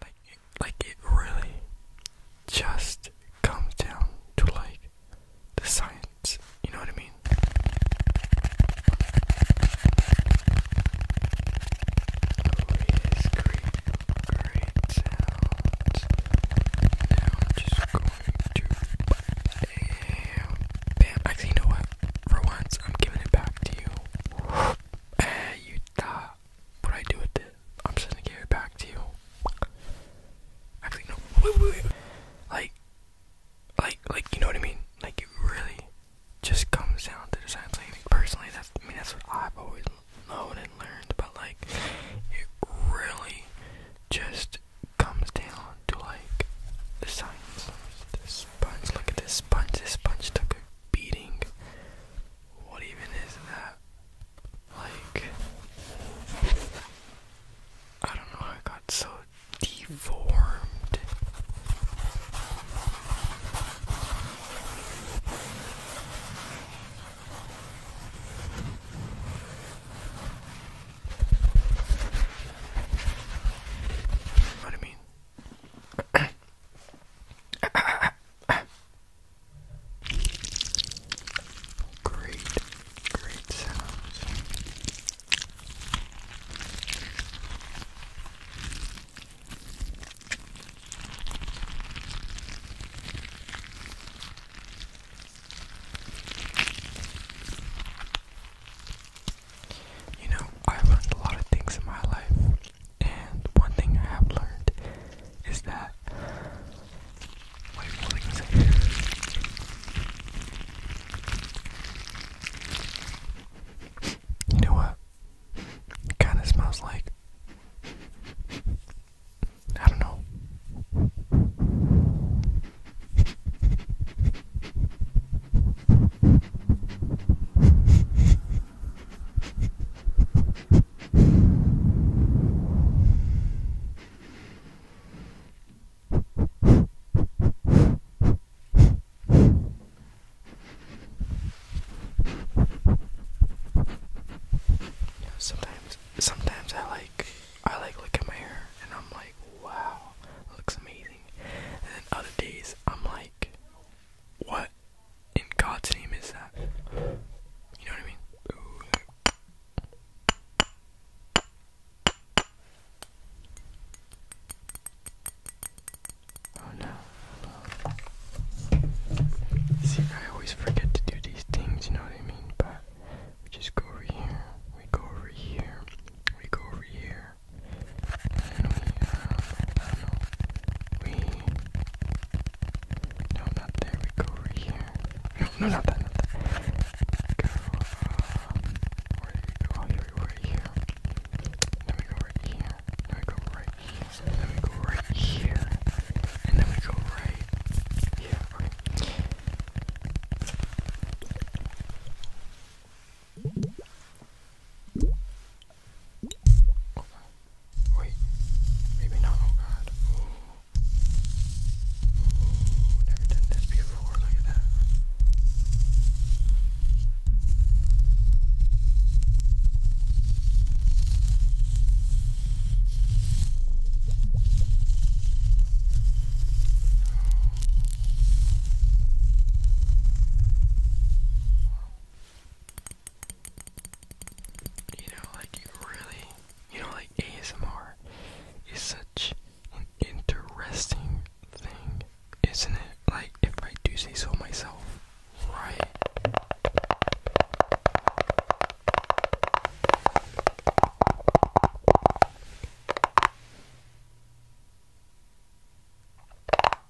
Like, like it really just comes down to like the science. You know what I mean? Please create great sounds. Now I'm just going to bam, Actually, you know what? For once, I'm giving it back to you. Hey, eh, what I do with it, I'm just gonna give it back to you. Actually, no, Like, like, like, you know what I mean? Like, it really just comes down to the science. personally, that's, I mean, that's what I've always known and learned, but like, it really just comes down to like the science. This sponge, look at this sponge. This sponge took a beating what even is that? Like, I don't know, I got so deformed. What do you mean? Great, great sounds. You know, I learned a lot of things in my life and one thing I have learned is that You know what? kinda smells like I don't know sometimes sometimes I like I like look at my hair and I'm like, wow, looks amazing. And then other days I'm like, what in God's name is that? You know what I mean? Oh no. See, I always forget to do these things, you know what I mean? But we just go over here, we go over here, we go over here, and we, um, I don't know. We. No, not there. We go right here. No, no, not that. Not that. Go. Um, where do we go? Here we go right here. Then we go right here. Then we go right here. Then we go right here. And then we go right here. Okay. Oh god. Wait. Maybe not. Oh god. Ooh. Ooh. Never done this before. Look at that. You know, like really, you know, like ASMR is such an interesting thing, isn't it? Like, if I do say so myself, right?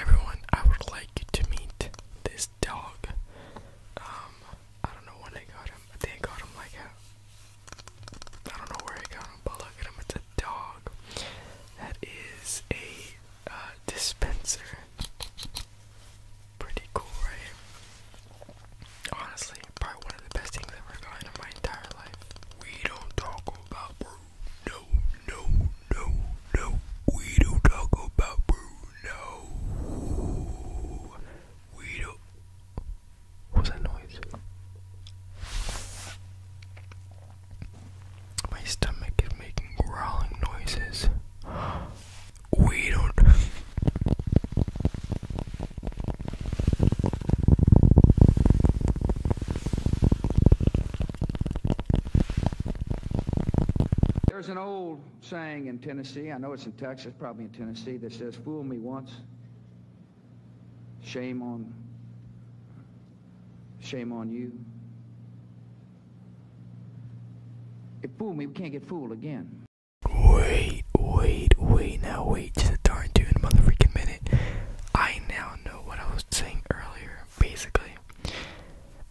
Everyone, I would like you to meet this dog. Um, I don't know when I got him. I think I got him like a, I don't know where I got him, but look at him. It's a dog. That is a uh, dispenser. Pretty cool, right? Honestly, probably one of the best things ever gotten in my entire life. We don't talk about no, no, no, no. We don't talk about Bruno. We don't. What was that noise? My stomach is making growling noises. We don't. There's an old saying in Tennessee, I know it's in Texas, probably in Tennessee, that says, Fool me once, shame on shame on you. If fooled me, we can't get fooled again. Wait, wait, wait, now wait just a darn tune mother minute. I now what I was saying earlier. Basically,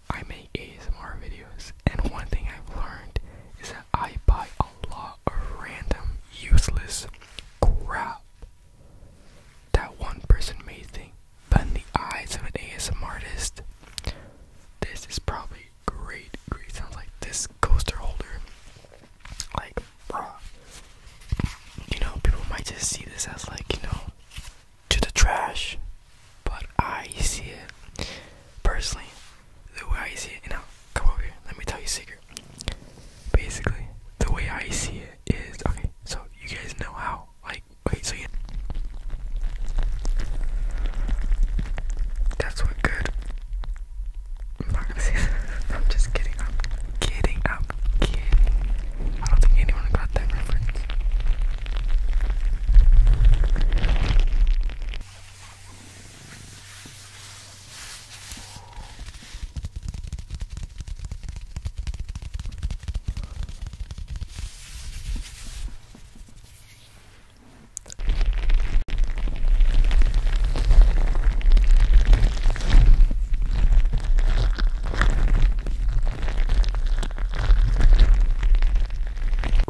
I make ASMR videos, and one thing I've learned is that I buy a lot of random, useless crap that one person may think. But in the eyes of an ASMR artist, this is probably great. Great sounds like this coaster holder like, bruh. You know, people might just see this as like, you know, to the trash. But I see it personally, the way I see it. You now, come over here. Let me tell you a secret. Basically, the way I see it is okay. So you guys know how, like, wait. So you. That's what good I'm not gonna say that. I'm just kidding. up, kidding. I'm kidding. I i do not think anyone got that reference.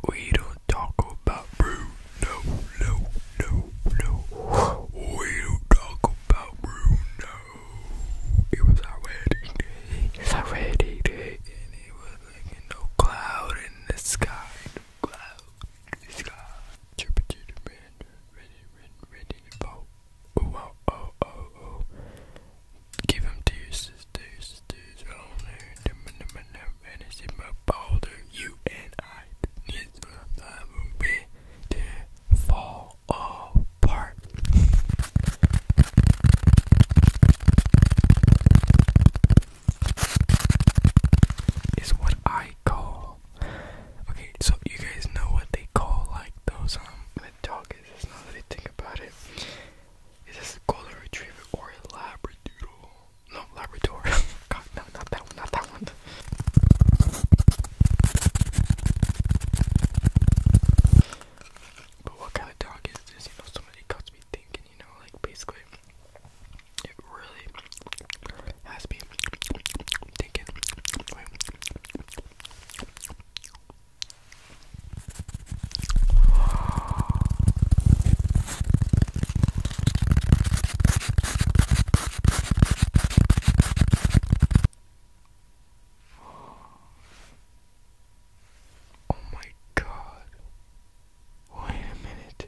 We don't talk about brew, no, no, no, no. We don't talk about brew, It was our wedding day, our wedding day, and it was like no cloud in the sky, no cloud in the sky. ready, ready, ready to vote. Oh, oh, oh, oh, oh. Give him deuces, deuces, deuces. Oh, no, no, no, and it's in my boulder. You and I need to love me to fall apart. Is what I call Okay, so you guys know what they call like those um the dog is it's not that I think about it. Is this a golden retriever or a labrador? No, labrador. God, no, not that one, not that one. But what kind of dog is this? You know, somebody got me thinking, you know, like basically it really has me Take it. Oh my god. Wait a minute.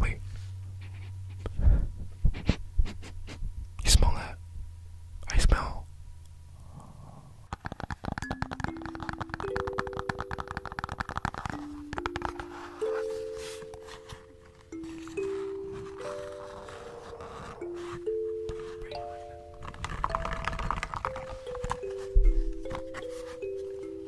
Wait. You smell that? I smell.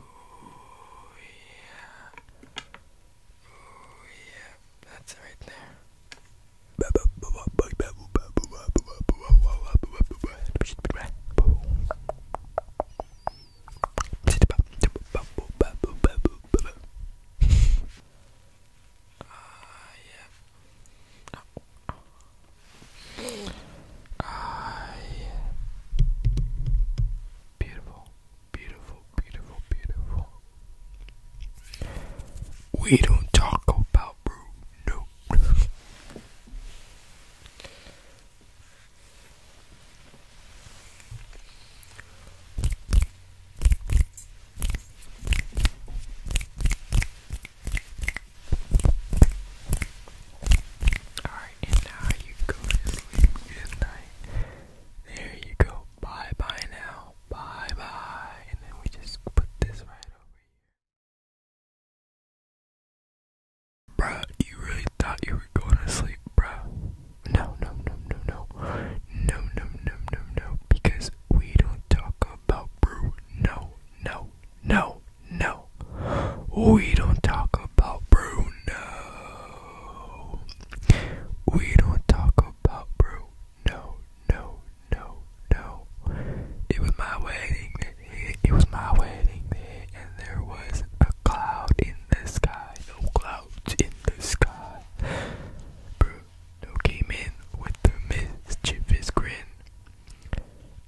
Oh yeah. Oh yeah. That's right there. Ah, yeah. I Beautiful, beautiful, beautiful, beautiful. We don't talk about Nope. Alright, and now you go to sleep. Good night. There you go. Bye bye now. Bye bye. And then we just put this right over here. Bruh, you really thought you were going to sleep, bruh. No, no, no, no, no. No, no, no, no, no. Because we don't talk about brew. No, no, no, no. We don't talk about Bruno. We don't talk about Bruno. No, no, no, no. It was my wedding. It was my wedding and there was a cloud in the sky. No clouds in the sky. Bruno came in with a mischievous grin.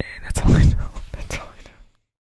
And that's all I know. That's all I know.